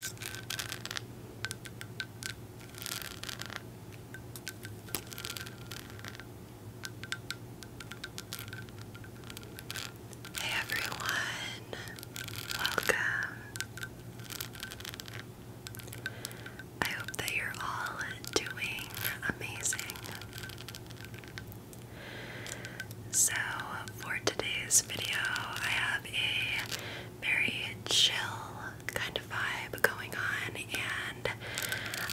Hey everyone, welcome. I hope that you're all doing amazing. So, for today's video, I have a very chill kind of vibe going on, and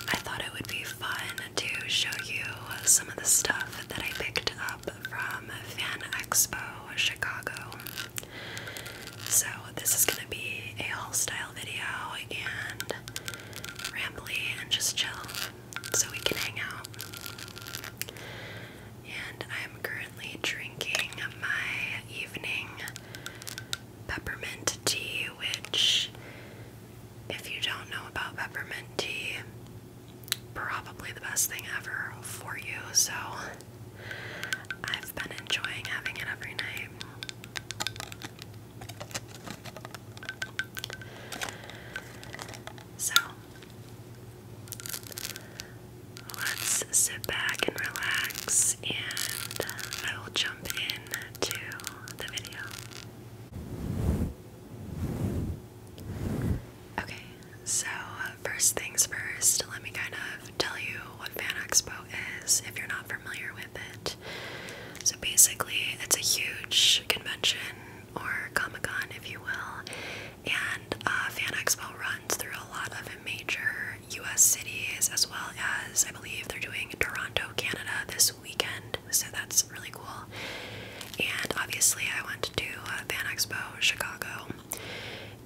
I thought it would be fun to show you some of the stuff that I picked up from Fan Expo Chicago. So, this is gonna be a whole style video and rambly and just chill so we can hang out. And I'm currently drinking my evening peppermint tea, which, if you don't know about peppermint tea, probably the best thing ever for you. So, I've been enjoying having it every night. So, Let's sit back and relax, and I will jump in the video. Okay, so first things first, let me kind of tell you what Fan Expo is if you're not familiar with it. So basically, it's a huge convention or Comic Con, if you will, and uh, Fan Expo runs through a lot of major US cities, as well as I believe they're doing Toronto, Canada this weekend. So that's really cool. And obviously, I went to uh, Fan Expo Chicago,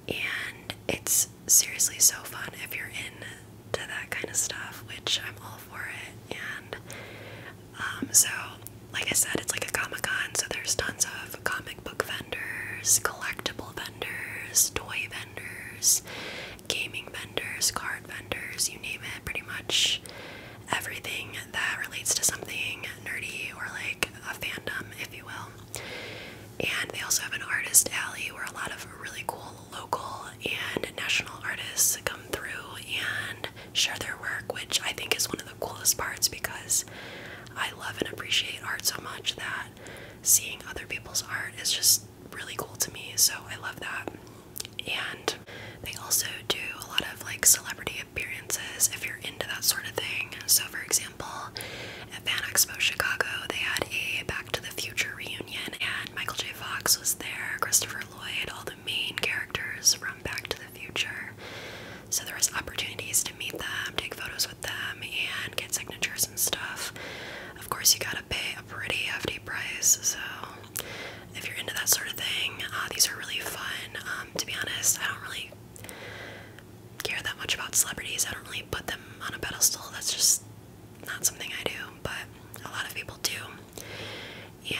and it's seriously so fun if you're into that kind of stuff, which I'm all for it. And um, so, like I said, it's like a Comic Con, so there's tons of comic book collectible vendors, toy vendors, gaming vendors, card vendors, you name it, pretty much everything that relates to something nerdy or like a fandom, if you will. And they also have an artist alley where a lot of really cool local and national artists come through and share their work, which I think is one of the coolest parts because I love and appreciate art so much that seeing other people's art is just really cool to me. So I love that. And they also do a lot of like celebrity appearances if you're into that sort of thing. So, for example, at Fan Expo Chicago, they had a Back to the Future reunion, and Michael J. Fox was there, Christopher Lloyd, all the main characters from Back to the Future. So, there was opportunities to meet them, take photos with them and get signatures and stuff. Of course, you gotta pay a pretty hefty price, so if you're into that sort of thing, uh, these are really fun. Um, to be honest, I don't really care that much about celebrities, I don't really put them on a pedestal, that's just not something I do, but a lot of people do.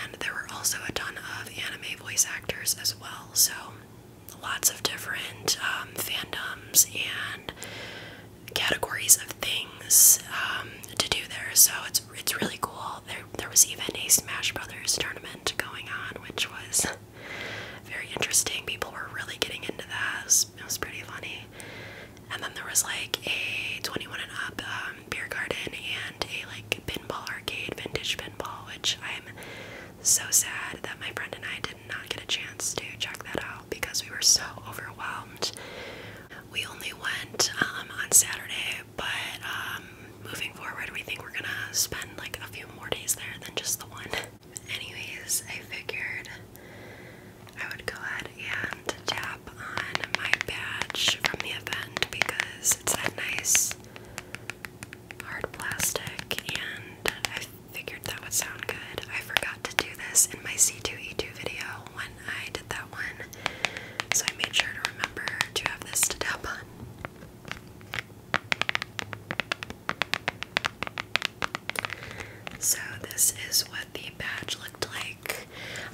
And there were also a ton of anime voice actors as well, so lots of different um, fandoms and categories of things um, to do there. So it's it's really cool. There there was even a Smash Brothers tournament going on, which was very interesting. People were really getting into that. It was, pretty funny. And then there was like a 21 and up um, beer garden and a like pinball arcade, vintage pinball, which I'm so sad that my friend and I did not get a chance to check that out because we were so overwhelmed. We only went um, on Saturday, but um, moving forward, we think we're gonna spend like a few more days there than just the one. Anyways, I figured I would go ahead and tap on my badge from the event because it's that nice hard plastic, and I figured that would sound good. I forgot to do this in my C2E2 video when I did that one, so I made sure to remember to have this to tap on. So, this is what the badge looked like.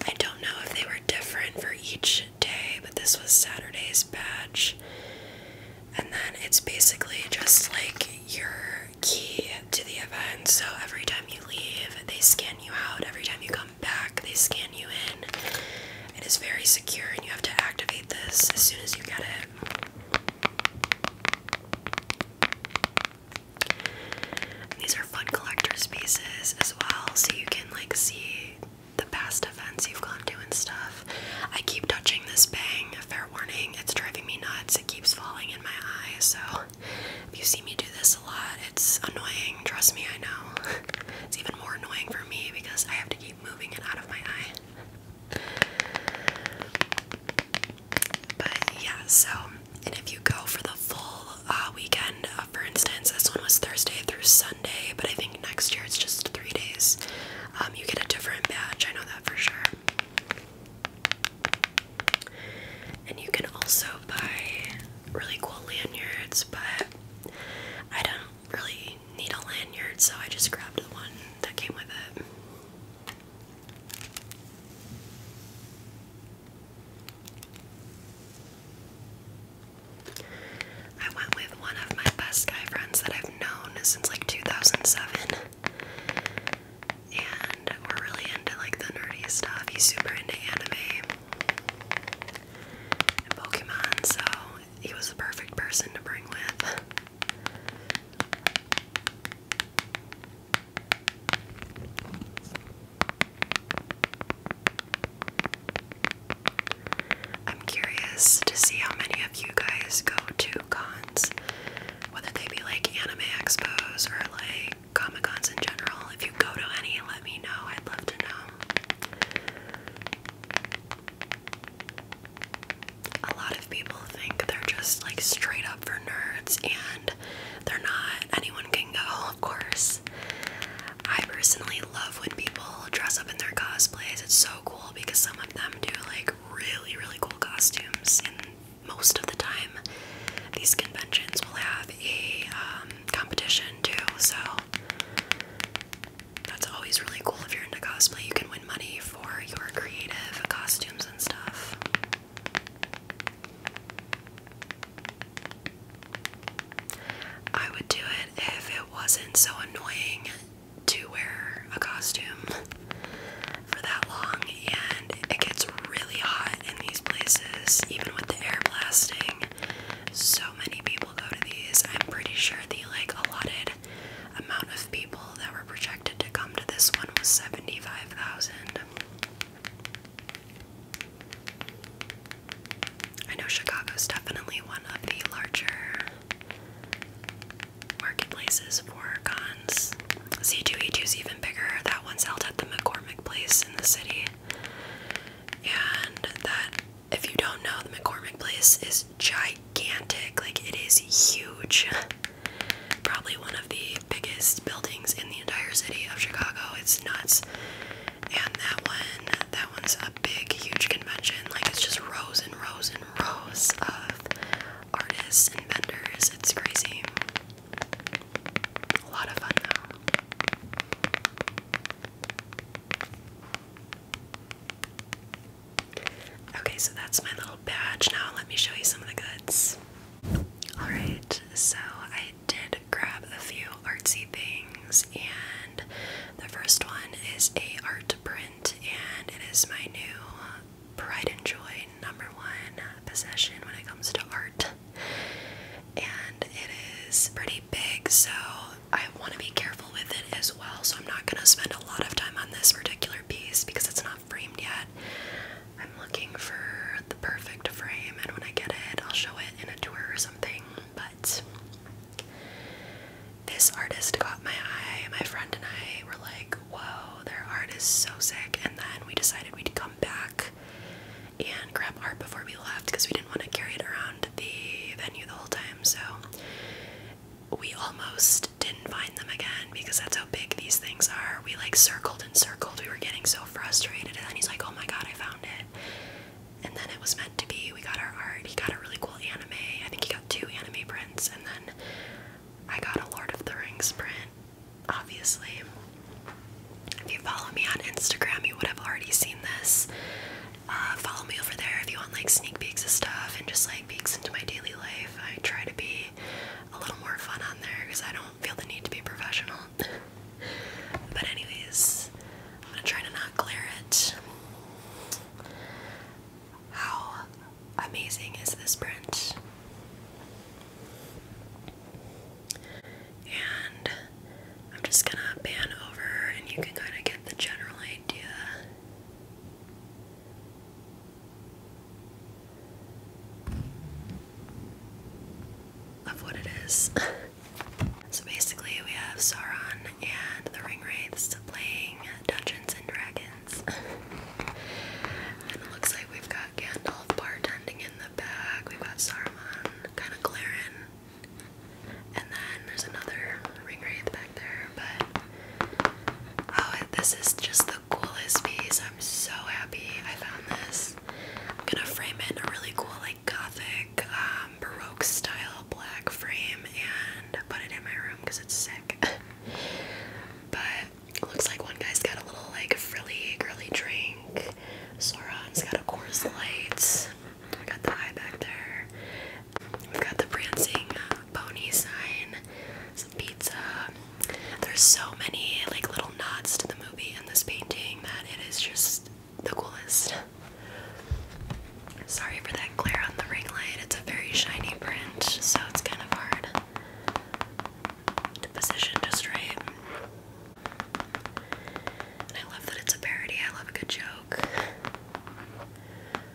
I don't know if they were different for each day, but this was Saturday's badge. And then it's basically just like your key to the event. So every time you leave, they scan you out. Every time you come back, they scan you in. It is very secure, and you have to activate this as soon as you get it. these are fun collector's pieces as well, so you can like see the past events you've gone to and stuff. I keep touching this bang. Fair warning, it's driving me nuts. It keeps falling in my eye. So if you see me do this a lot, it's annoying. Trust me, I know. It's even more annoying for me because I have to keep moving it out of my eye. But yeah, so and if you go for the full uh, weekend, uh, for instance, this one was Thursday through Sunday, but I think next year it's just three days. Um, you get a different badge, I know that for sure. And you can also buy really cool lanyards, but I don't really need a lanyard, so I just grabbed the one that came with it. I went with one of my best guy friends that I've known since like 2007 and we're really into like the nerdy stuff. He's super into anime and Pokemon, so he was the perfect person to bring with. I'm curious to see how many of you guys go to food whether they be like anime expos or like comic cons in general. If you go to any, let me know. I'd love to know. A lot of people think they're just like straight up for nerds, and they're not. Anyone can go, of course. I personally love when people dress up in their cosplays. It's so cool because some of them do like really, really cool costumes. And most of the time, these conventions will have a um, competition too. So that's always really cool if you're into cosplay. You can win money for your creative costumes and stuff. I would do it if it wasn't so annoying to wear a costume for that long, and it gets really hot in these places, even with the air blasting. So many people go to these. I'm pretty sure the like allotted amount of people that were projected to come to this one was 75,000. I know Chicago's definitely one of the larger marketplaces for cons. C2E2 is even bigger. That one's held at the McCormick Place in the city. And that, if you don't know, the McCormick Place is gigantic. Like, it is huge. Probably one of the biggest buildings in the entire city of Chicago. It's nuts. And that one, that one's a big, huge convention. Like, it's just rows and rows and rows of artists and vendors. It's crazy. A lot of fun Okay, so that's my little badge. Now let me show you some of the goods. Alright, so I did grab a few artsy things, and the first one is a art print, and it is my new pride and joy number one possession when it comes to art. And it is pretty big, so I want to be careful with it as well. So I'm not going to spend a lot of time on this particular piece because it's not framed yet. I'm looking for the perfect frame, and when I get it, I'll show it in a tour or something. But this artist caught my eye. My friend and I were like, whoa, their art is so sick. And then we decided we'd come back and grab art before we left because we didn't want to carry it around the venue the whole time. So we almost didn't find them again because that's how big these things are. We like circled and circled. We were getting so frustrated. And then he's like, oh my god, I found it. And then it was meant to be. We got our art. He got a really cool anime. I think he got two anime prints. And then I got a Lord of the Rings print, obviously. If you follow me on Instagram, you would have already seen this. Uh, follow me over there if you want like sneak peeks of stuff and just like peeks into my daily life. I try to be a little more fun on there because I don't feel the need to be professional. but anyways, I'm gonna try to not glare it. How amazing is this print? And I'm just gonna pan over and you can kind of get the general idea. Of what it is. so basically, we have Sauron and the Ringwraiths playing Dungeons and Dragons and it looks like we've got Gandalf bartending in the back. We've got Saruman, kind of glaring. And then there's another ring back there, but oh, this is just the coolest piece. I'm so happy I found this. I'm gonna frame it in a really cool, like gothic, um, baroque style black frame and put it in my room because it's sick. But looks like one guy's got a little like frilly girly drink. Sauron's got a Coors Light. got the eye back there. We've got the prancing uh, pony sign. Some pizza. There's so many like little nods to the movie in this painting that it is just the coolest. Sorry for that glare on the ring light it's a very shiny print, so it's kind of hard to position just right. I love that it's a parody, I love a good joke.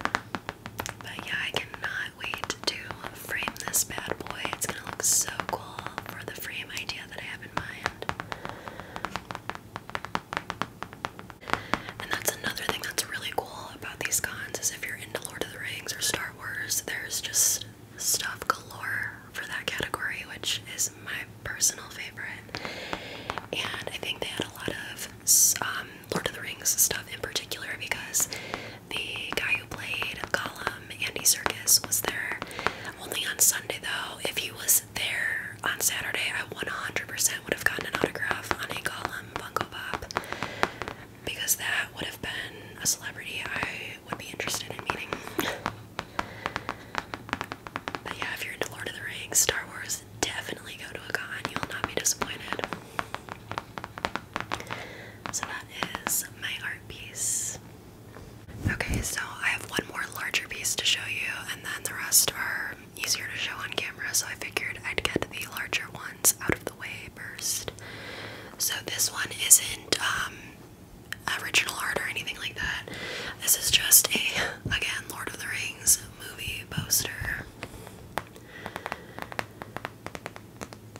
But yeah, I cannot wait to frame this bad boy. It's gonna look so cool for the frame idea that I have in mind. And that's another thing that's really cool about these cons is if you're into Lord of the Rings or Star Wars, there's just stuff galore for that category, which is my personal favorite. And I think they had a lot of um, Lord of the Rings stuff in particular because the guy who played Gollum, Andy Serkis, was there only on Sunday though. If he was there on Saturday, I 100% would have gotten an autograph on a Gollum Funko Pop because that would have been a celebrity I would be interested in meeting. But yeah, if you're into Lord of the Rings, Star Wars, definitely go to a con. You'll not be disappointed. So that is my art piece. Okay, so I have one more larger piece to show you, and then the rest are easier to show on camera, so I figured I'd get the larger ones out of the way burst. So this one isn't um, original art or anything like that. This is just a, again, Lord of the Rings movie poster.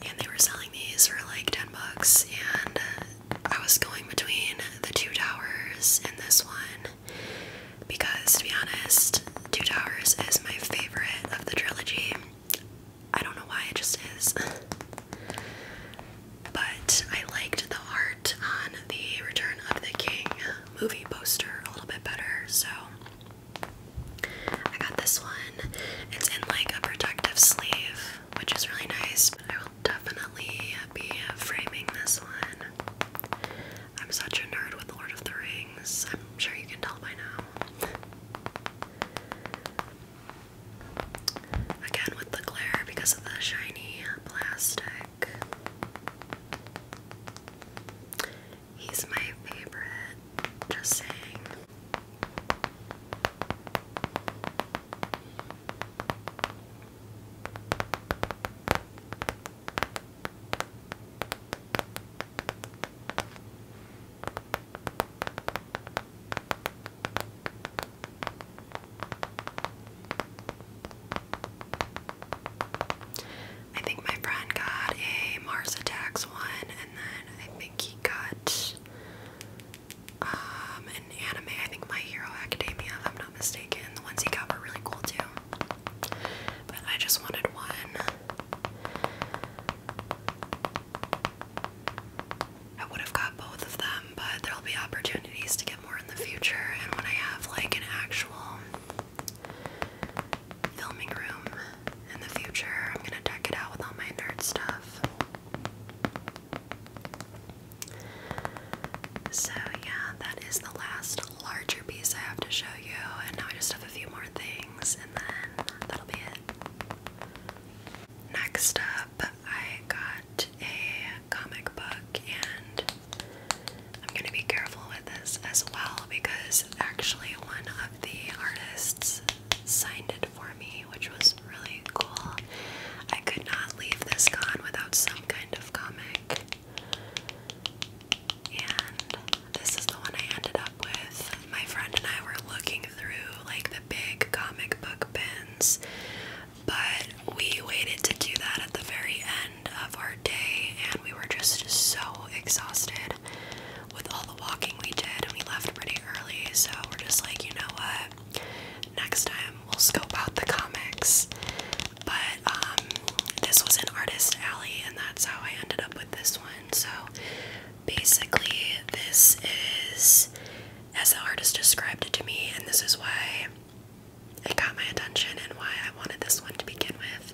And they were selling these for like 10 bucks, and I was going between the two towers and this one because, to be honest, Two Towers is my favorite of the trilogy. I don't know why it just is. but I liked the art on the Return of the King movie poster a little bit better, so I got this one. It's in like a protective sleeve, which is really nice. But I will definitely be framing this one. I'm such a nerd with Lord of the Rings. I'm sure you can tell by now. Again with the glare because of the shiny plastic. He's my favorite, just saying. I think my friend got a Mars Attacks one, and then I think he got um, an anime. I think My Hero Academia, if I'm not mistaken. The ones he got were really cool too. But I just wanted one I would have got both of them, but there'll be opportunities to get more in the future. And when I have like an actual filming room in the future, I'm gonna deck it out with all my nerd stuff. So, yeah, that is the last larger piece I have to show you, and now I just have a few more things and then that'll be it. Next up, I got a comic book, and I'm gonna be careful with this as well because actually, one of the artists signed it for me, which was really cool. I could not leave this gone without some kind of comic. And this is the one I ended up with. My friend and I were looking through like the big comic book bins, but we waited to do that at the very end of our day, and we were just so exhausted with all the walking we did, and we left pretty early. So we're just like, you know what? Next time we'll scope out the comics. But um, this was an artist alley, and that's how I ended up with this one. So basically, this is as the artist described it to me, and this is why it got my attention and why I wanted this one to begin with.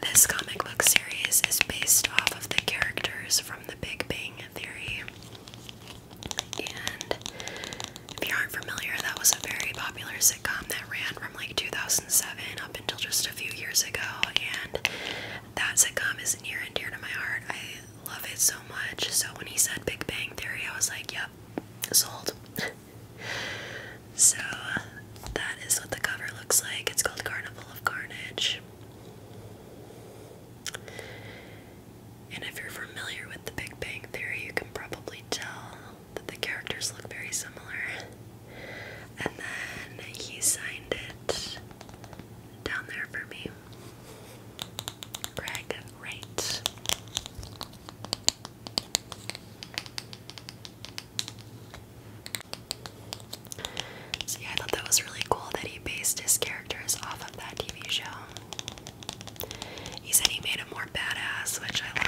This comic book series is based off of the characters from the Big Bang Theory. And if you aren't familiar, that was a very popular sitcom that ran from like 2000 2007 up until just a few years ago, and that sitcom is near and dear to my heart. I love it so much. So when he said Big Bang Theory, I was like, yep, sold. so that is what the cover looks like. It's called Carnival of Carnage. And if you're familiar with the Big Bang Theory, you can probably tell that the characters look very similar and then he signed it down there for me. Greg Wright. So I thought that was really cool that he based his characters off of that TV show. He said he made him more badass, which I love.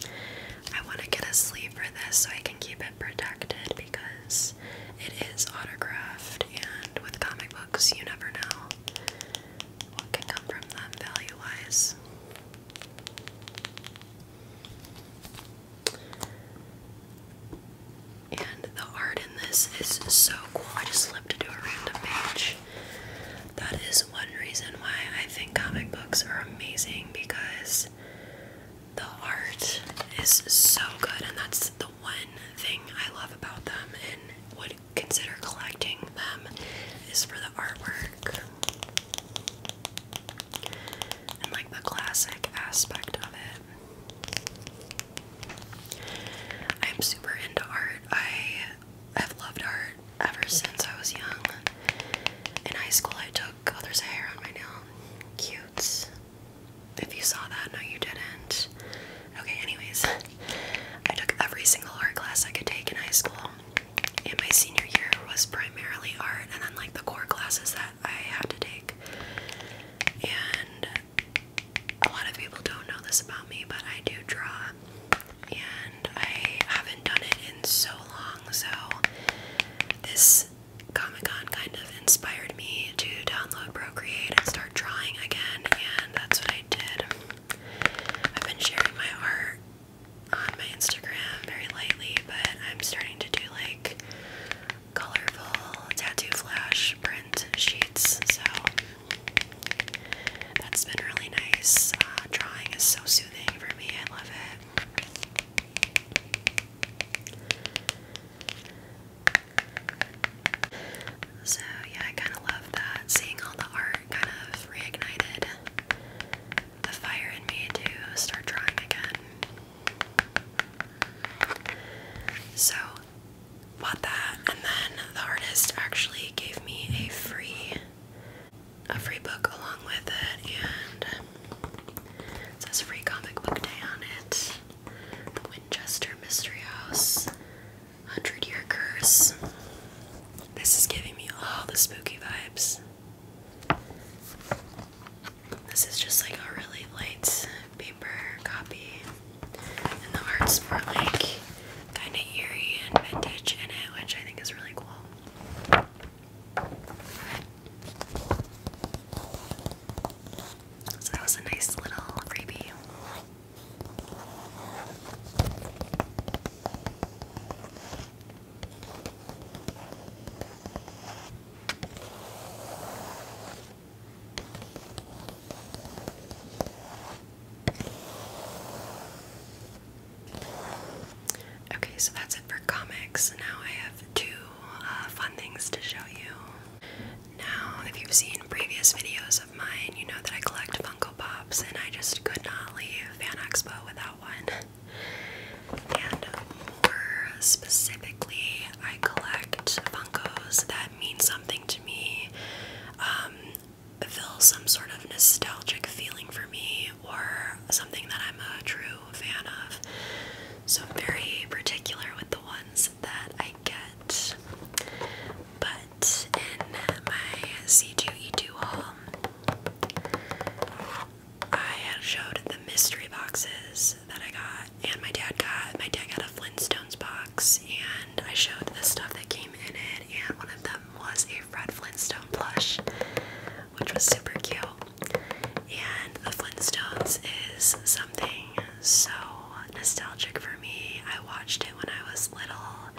I want to get a sleeve for this so I can keep it protected because it is autographed, and with comic books, you never know what can come from them value wise. And the art in this is so cool. I just flipped to a random page. That is one reason why I think comic books are amazing because the art is so good, and that's the one thing I love about them and would consider collecting them is for the artwork and like the classic aspect of it. I'm super into art. I I've loved art ever since I was young. In high school, I took oh, there's a hair on my nail. Cutes. If you saw that, no, you didn't. Okay, anyways, I took every single art class I could take in high school. And my senior year was primarily art, and then like the core classes that I had to take. And a lot of people don't know this about me, but I do draw and I haven't done it in so long, so this Comic Con kind of inspired me to download Procreate and start drawing again, and that's what I did. I've been sharing my art on my Instagram very lightly, but I'm starting to do like colorful tattoo flash print sheets, so that's been really nice. Uh, drawing is so soothing for me. I love it. So, yeah, I kind of love that. Seeing all the art kind of reignited the fire in me to start drawing again. So, bought that and then the artist actually gave me a free a free book along with it and it says free comic book day on it. The Winchester Mystery House. Hundred Year Curse. This is giving me all the spooky vibes. This is just like a really light paper copy, and the art's more like kind of eerie and vintage in it, which I think is really cool. So that was a nice little freebie. Okay, so that's it for comics. Now I have two uh, fun things to show you. Now, if you've seen previous videos of mine, you know that I collect Funko Pops, and I just could not leave Fan Expo without one. And um, more specifically, I collect Funkos that mean something to me. Um, fill some sort of nostalgic feeling for me or something that I'm a true fan of. So very particular with the ones that I get. But in my C2E2 haul, I had showed the mystery boxes that I got, and my dad got. My dad got a Flintstones box, and I showed the stuff that came in it, and one of them was a Fred Flintstone plush, which was super cute. And the Flintstones is something so nostalgic for me. I watched it when I was little.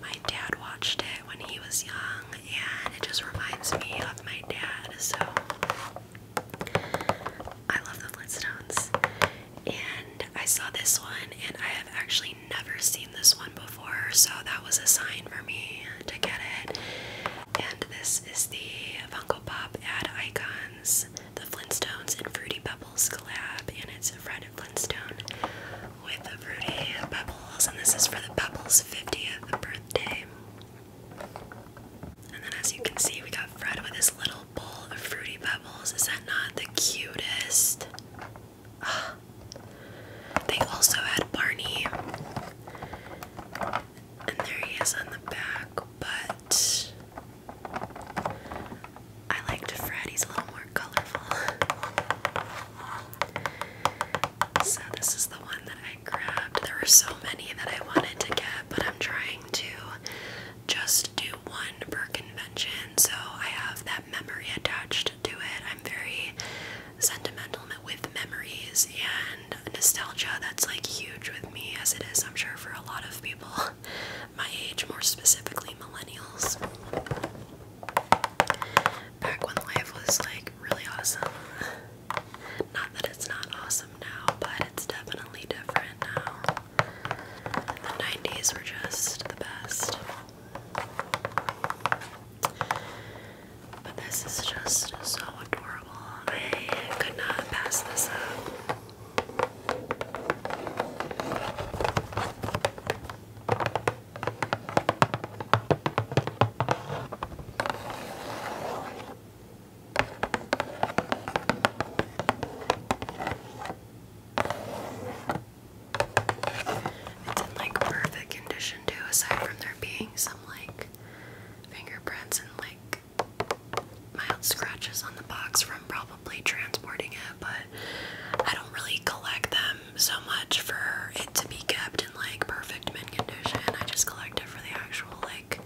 My dad watched it when he was young, and it just reminds me of my dad. So I love the Flintstones. And I saw this one, and I have actually never seen this one before, so that was a sign for me to get it. And this is the Funko Pop ad icons, the Flintstones and Fruity Pebbles collab, and it's Fred Flintstone with the Fruity Pebbles, and this is for the Pebbles 50th birthday. And then, as you can see, we got Fred with his little bowl of Fruity Pebbles. Is that not the cutest? They also had Barney. And there he is on the back, but I liked Fred. He's a little more colorful. So this is the one that I grabbed. There were so many that I wanted to get, but I'm trying to just do one per convention. So I have that memory attached to it. I'm very sentimental with memories and nostalgia. That's like huge with me, as it is, I'm sure, for a lot of people my age, more specifically millennials. Back when life was like really awesome. Not that it's not awesome now, but it's definitely different now. The 90s were just the best. But this is just so adorable. I could not pass this up. It's in like perfect condition too, aside from there being some like fingerprints and like mild scratches on the box from probably transporting it, but I don't really collect them so much for it to be kept in like perfect mint condition. I just collect it for the actual like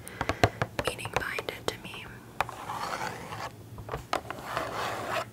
meaning behind it to me.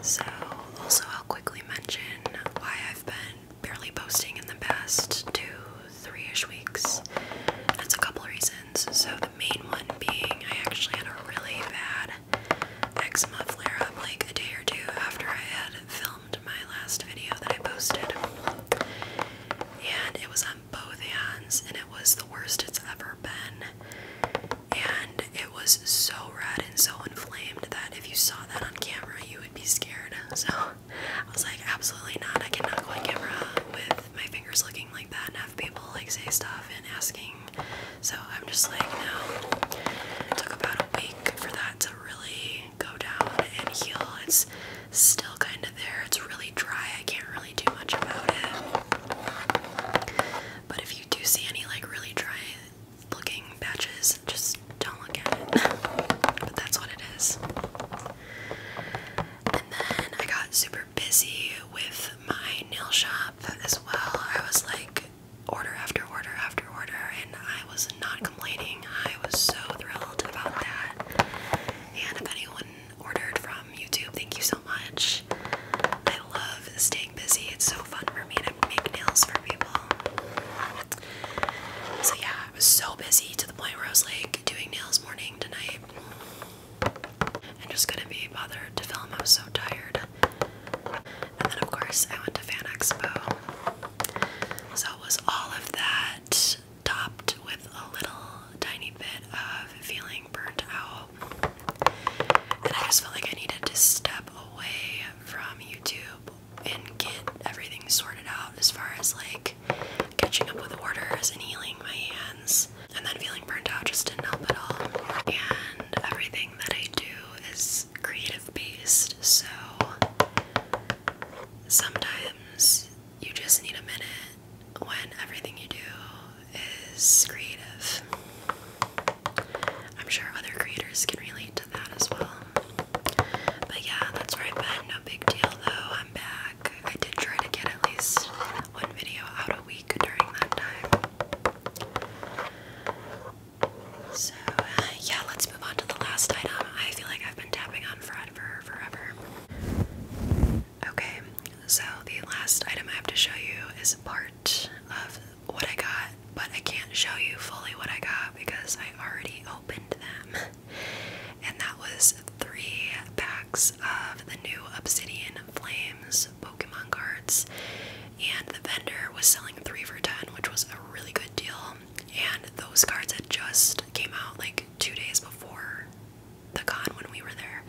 So, also, I'll quickly mention why I've been barely posting in the past two, three ish weeks. That's a couple reasons. So, the main one being I actually had a really bad eczema flare up like a day or two after I had filmed my last video that I posted. And it was on both hands, and it was the worst it's ever been. And it was so red and so inflamed that if you saw that on camera, you would be scared. So I was like, absolutely not. I cannot go on camera with my fingers looking like that and have people like say stuff and asking. So I'm just like, no. It took about a week for that to really go down and heal. It's still kind of there. It's really dry. I can't really do much about it. But if you do see any like really dry looking patches, just don't look at it. but that's what it is. And then I got super busy with my nail shop as well. I was like order after order after order, and I was not complaining. I was so thrilled about that. And if anyone ordered from YouTube, thank you so much. I love staying busy. It's so fun for me to make nails for people. So yeah, I was so busy to the point where I was like doing nails morning to night. And just couldn't be bothered to film. I was so tired. And then of course I went to Fan Expo. So it was all of that topped with a little tiny bit of feeling burnt out. And I just felt like I needed to step away from YouTube and get everything sorted out as far as like catching up with orders and healing my hands. And then feeling burnt out just didn't help at all. And everything that I do is creative based, so sometimes you just need a minute when everything you do is creative. I'm sure other creators can relate to that as well. But yeah, that's where i No big deal though. I'm back. I did try to get at least one video out a week during that time. So uh, yeah, let's move on to the last item. I feel like I've been tapping on Fred for forever. Okay, so the last item I have to show you is part of what I got, but I can't show you fully what I got because I already opened them. and that was three packs of the new Obsidian Flames Pokemon cards. And the vendor was selling three for ten, which was a really good deal. And those cards had just came out like two days before the con when we were there.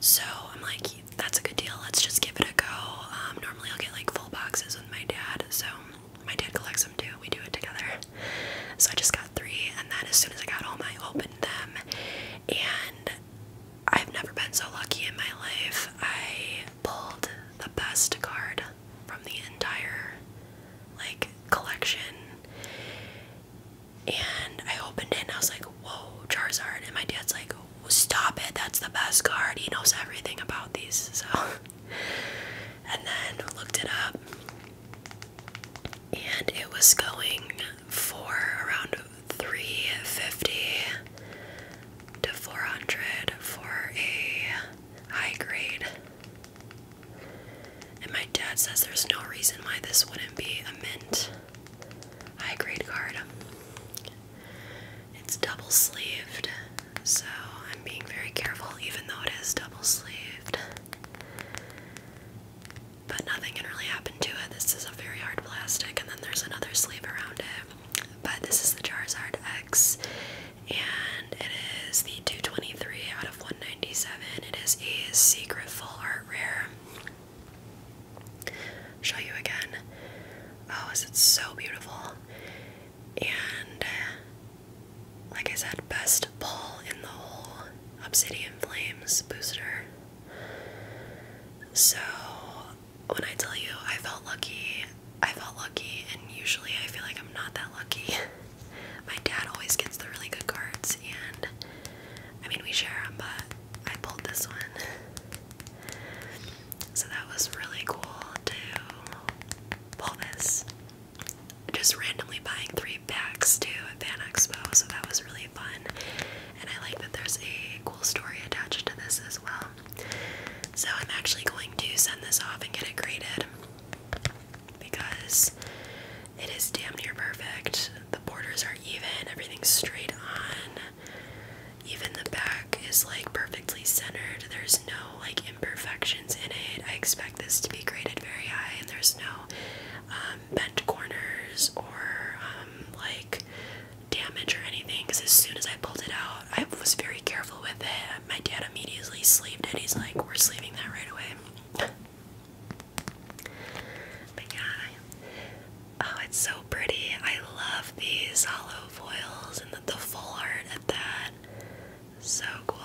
So I'm like, that's a good deal. Let's just give it a go. Um, normally, I'll get like full boxes with my dad, so my dad collects them too. We do it together. So I just got three, and then as soon as I got home, I opened them. And I've never been so lucky in my life. I pulled the best card from the entire like collection. And I opened it and I was like, whoa, Charizard. And my dad's like, stop it, that's the best card. He knows everything about these. So, and then looked it up, and it was going for around 350 to 400 for a high grade. And my dad says there's no reason why this wouldn't be a mint high grade card. It's double sleeved, so I'm being very careful, even though it is double sleeved. But nothing can really happen to it. This is a very hard plastic, and then there's another sleeve around it. But this is the Jarzard X, and it is the 223 out of 197. It is a secret full art rare show you again. Oh, is it so beautiful? And uh, like I said, best pull in the whole Obsidian Flames booster. So when I tell you I felt lucky, I felt lucky, and usually I feel like I'm not that lucky. My dad always gets the really good cards, and I mean, we share them, but I pulled this one. So that was really cool to pull this. Just randomly buying three packs too at Van Expo, so that was really fun. And I like that there's a cool story attached to this as well. So I'm actually going to send this off and get it graded because it is damn near perfect. The borders are even, everything's straight on. Even the back is like perfectly centered. There's no like imperfections in it. I expect this to be graded very high, and there's no um, bent corners or um, like damage or anything. Because as soon as I pulled it out, I was very careful with it. My dad immediately sleeved it. He's like, "We're sleeving that right away." but yeah, Oh, it's so pretty. I love these hollow foils and the, the full art at that. So cool.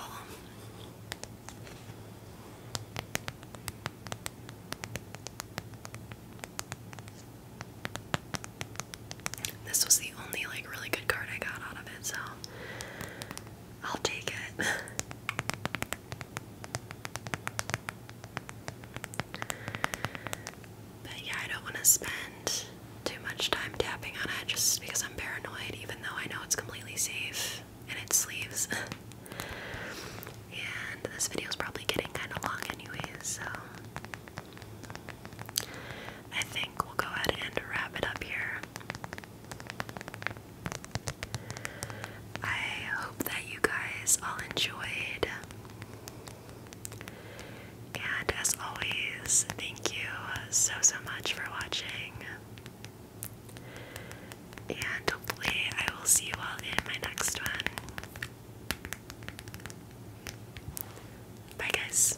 This was the only like really good card I got out of it, so I'll take it. But yeah, I don't want to spend too much time tapping on it just because I'm paranoid, even though I know it's completely safe and it sleeves. and this video is probably getting kind of long anyway, so I think we'll go ahead and wrap it up here. I hope that you guys all enjoyed. And as always, thank you so, so much for watching. And hopefully, I will see you all in my next one. Bye, guys.